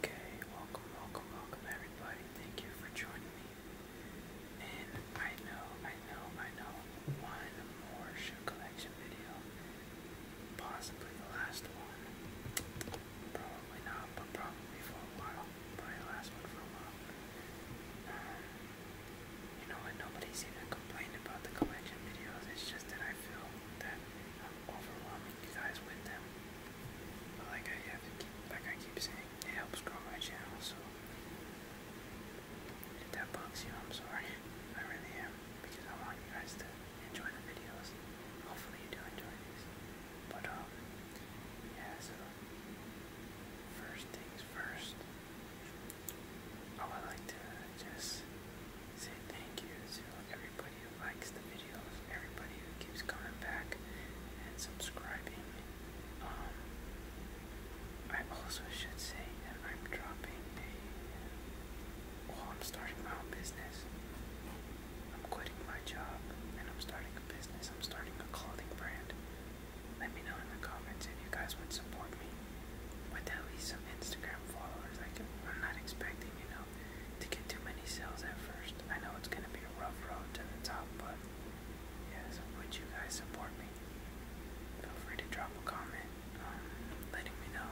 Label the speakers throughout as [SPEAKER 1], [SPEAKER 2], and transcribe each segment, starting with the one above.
[SPEAKER 1] Okay, welcome, welcome, welcome everybody. Thank you for joining me. And I know, I know, I know, one more shoe collection video. Possibly the last one. Probably not, but probably for a while. Probably the last one for a while. Uh, you know what? Nobody's even complained about the collection videos. It's just that I feel that um, overwhelming you guys with them. But like I keep, like I keep saying, it helps grow my channel. So if that bugs you, I'm sorry. I really am because I want you guys to enjoy the videos. Hopefully you do enjoy these. But um, yeah. So first things first, oh, I would like to just say thank you to everybody who likes the videos, everybody who keeps coming back and subscribing. Um, I also should say that I'm dropping a. Well, I'm starting my own business. I'm quitting my job and I'm starting a business. I'm starting a clothing brand. Let me know in the comments if you guys would support me with at least some Instagram followers. I can, I'm not expecting, you know, to get too many sales at first. I know it's going to be a rough road to the top, but yeah, so would you guys support me? Feel free to drop a comment um, letting me know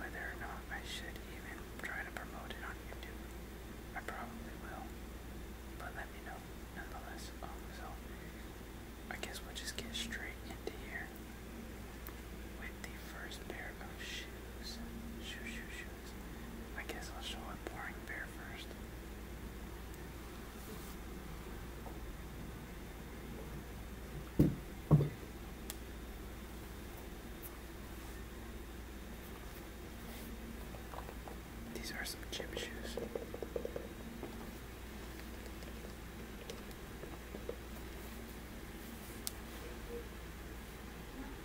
[SPEAKER 1] whether or not I should even try to promote it on YouTube. I probably will, but let me know nonetheless. Um, so I guess we'll just get straight into here with the first pair of shoes. Shoe, shoe, shoes. I guess I'll show a boring pair first. These are some chip shoes.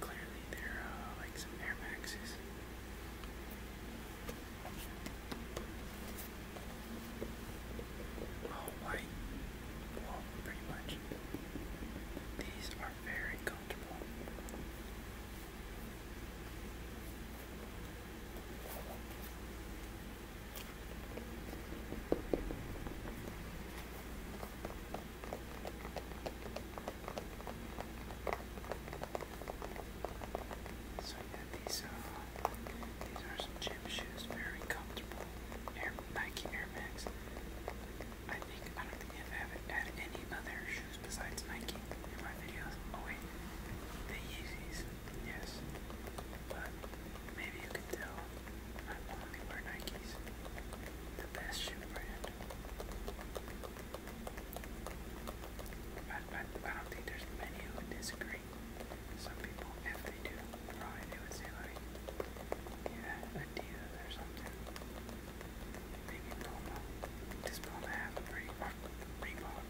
[SPEAKER 1] Clearly, they're like some Air Maxes. All white, well, pretty much. These are very comfortable. So yeah, these uh, these are some gym shoes, very comfortable. Nike Air Max. I think I don't think I've ever had any other shoes besides Nike in my videos. Oh wait, the Yeezys. Yes, but maybe you can tell I only wear Nikes, the best shoe brand. I, I, I don't think there's many who would disagree. Some people, if they do, probably would say like, yeah, Adidas or something. Maybe Puma. Does Puma have a Reebok? Reebok?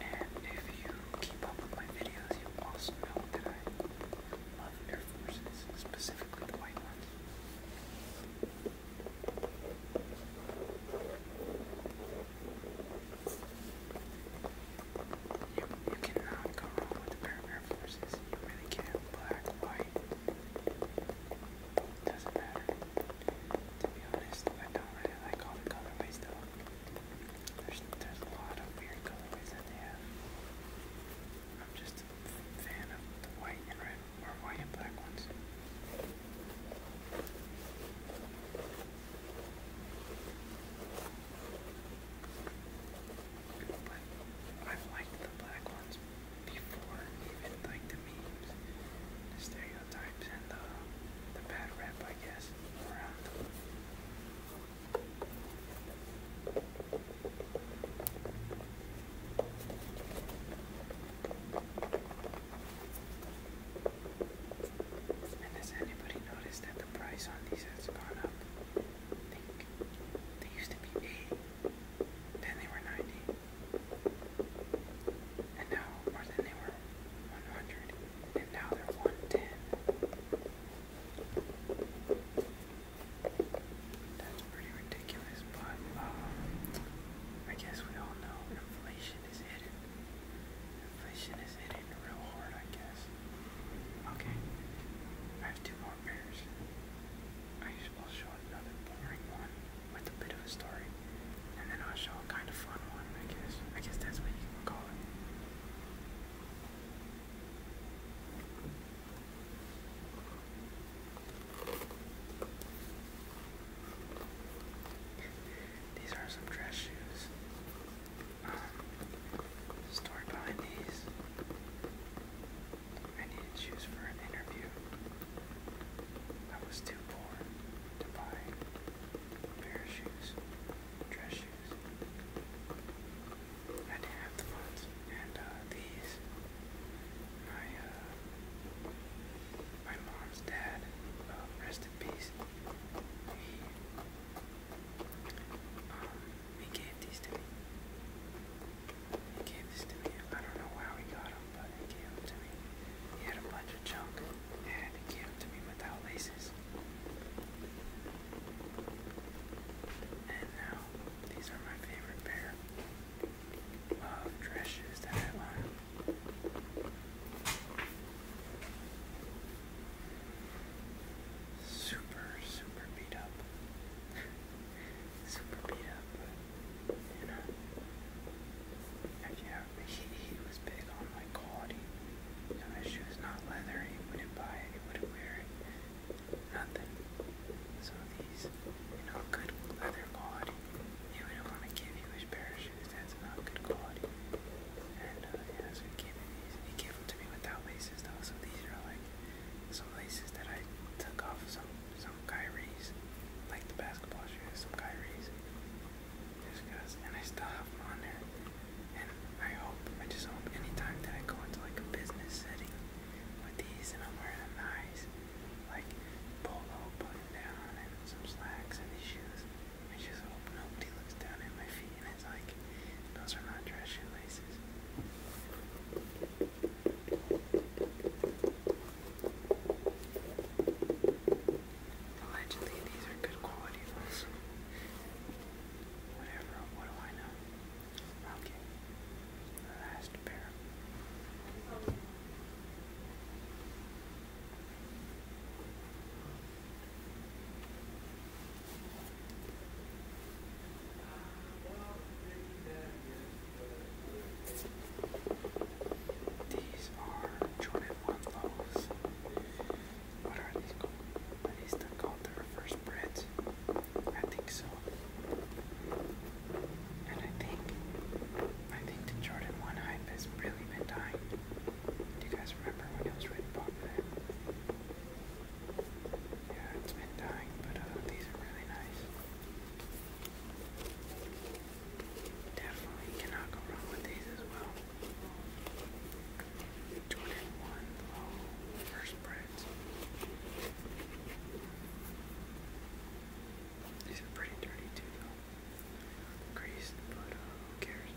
[SPEAKER 1] And if you keep up with my videos, you also know that I love Air Forces, specifically white ones. You, you cannot go wrong with a pair Black, white, doesn't matter. To be honest, I don't really like all the There's, a lot of weird colorways in there. I'm just a fan of the white and red, or white and black ones. But i liked the black ones before, even like the memes, the and uh, the, bad rap, I guess, has anybody noticed that the price on these has gone up? think they used to be 80, then they were 90, and now, more than they were 100, and now they're 110. That's pretty ridiculous, but um, I guess we all know inflation is hidden. Inflation is hitting real hard, I guess. Okay, I have two more pairs. I we'll show another boring one with a bit of a story, and then I'll show a kind of fun one, I guess. I guess that's what you can call it. These are some dress shoes. story behind these. I needed shoes for an interview. I was too poor to buy a pair of shoes, dress shoes. I didn't have the funds, and uh, these, my uh, my mom's dad, uh, rest in peace. He um, he gave these to me. He gave this to me. I don't know how he got them, but he gave them to me. He had a bunch of junk, and he gave them to me without laces. And now, these are my favorite pair of dress shoes that I own. Super, super beat up. super beat up, you know. And yeah, uh, he, he was big on like quality. You know, his shoes not leather, he wouldn't buy it, he wouldn't wear it, nothing. So these, you know, good leather quality. He wouldn't want to give you his pair of shoes that's not good quality. And uh, yeah, so he gave me these. He gave them to me without laces though, so these are like some laces that I took off some some Kyries, like the basketball shoes, some Kyries, just cause, and I still have them on there, and I hope, I just hope anytime that I go into like a business setting with these, and I'm wearing a nice, like, polo button down, and some slacks, and these shoes, I just hope nobody looks down at my feet, and it's like, those are not dress shoelaces. Allegedly, these are good quality ones. Whatever, what do I know? Okay, the last pair. These are Jordan 1 loaves. What are these called? Is that called the reverse bread? I think so. And I think, I think the Jordan 1 hype has really been dying. Do you guys remember when it was really popular? Yeah, it's been dying, but uh, these are really nice. Definitely cannot go wrong with these as well. 21 low first breads. These are pretty dirty too though. Greased, but uh, who cares?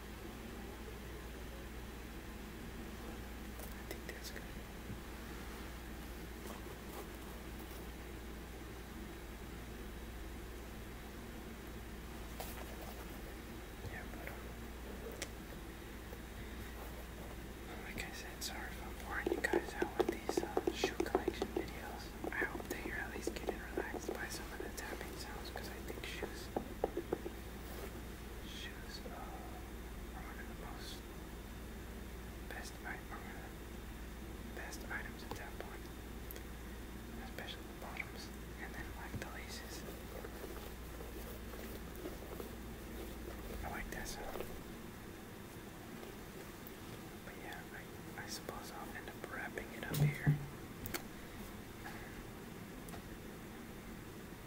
[SPEAKER 1] I Yeah, like I said, sorry if I'm boring you guys out with these uh, shoe collection videos. I hope that you're at least getting relaxed by some of the tapping sounds because I think shoes she was one oh, of the most best best items at that point, especially the bottoms, and then like the laces. I like that But yeah, I, I suppose I'll end up wrapping it up here.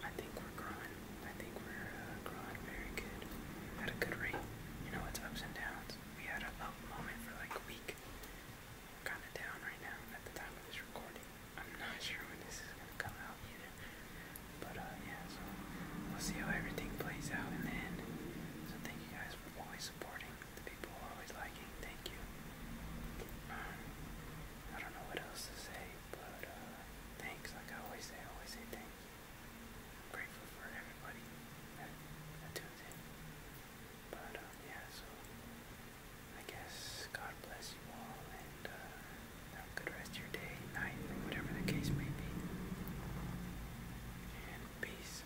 [SPEAKER 1] I think we're growing. I think we're uh, growing very good at a good rate. You know, it's ups and downs. We had an up moment for like a week. We're kind of down right now at the time of this recording. I'm not sure when this is going to come out either. But uh, yeah, so we'll see how everything plays out in the end. So thank you guys for always supporting the people always liking, thank you. Um, I don't know what else to say, but uh, thanks. Like I always say, I always say thanks. I'm grateful for everybody that, that tunes in. But um, yeah, so I guess God bless you all and uh, have a good rest of your day, night, or whatever the case may be. And peace.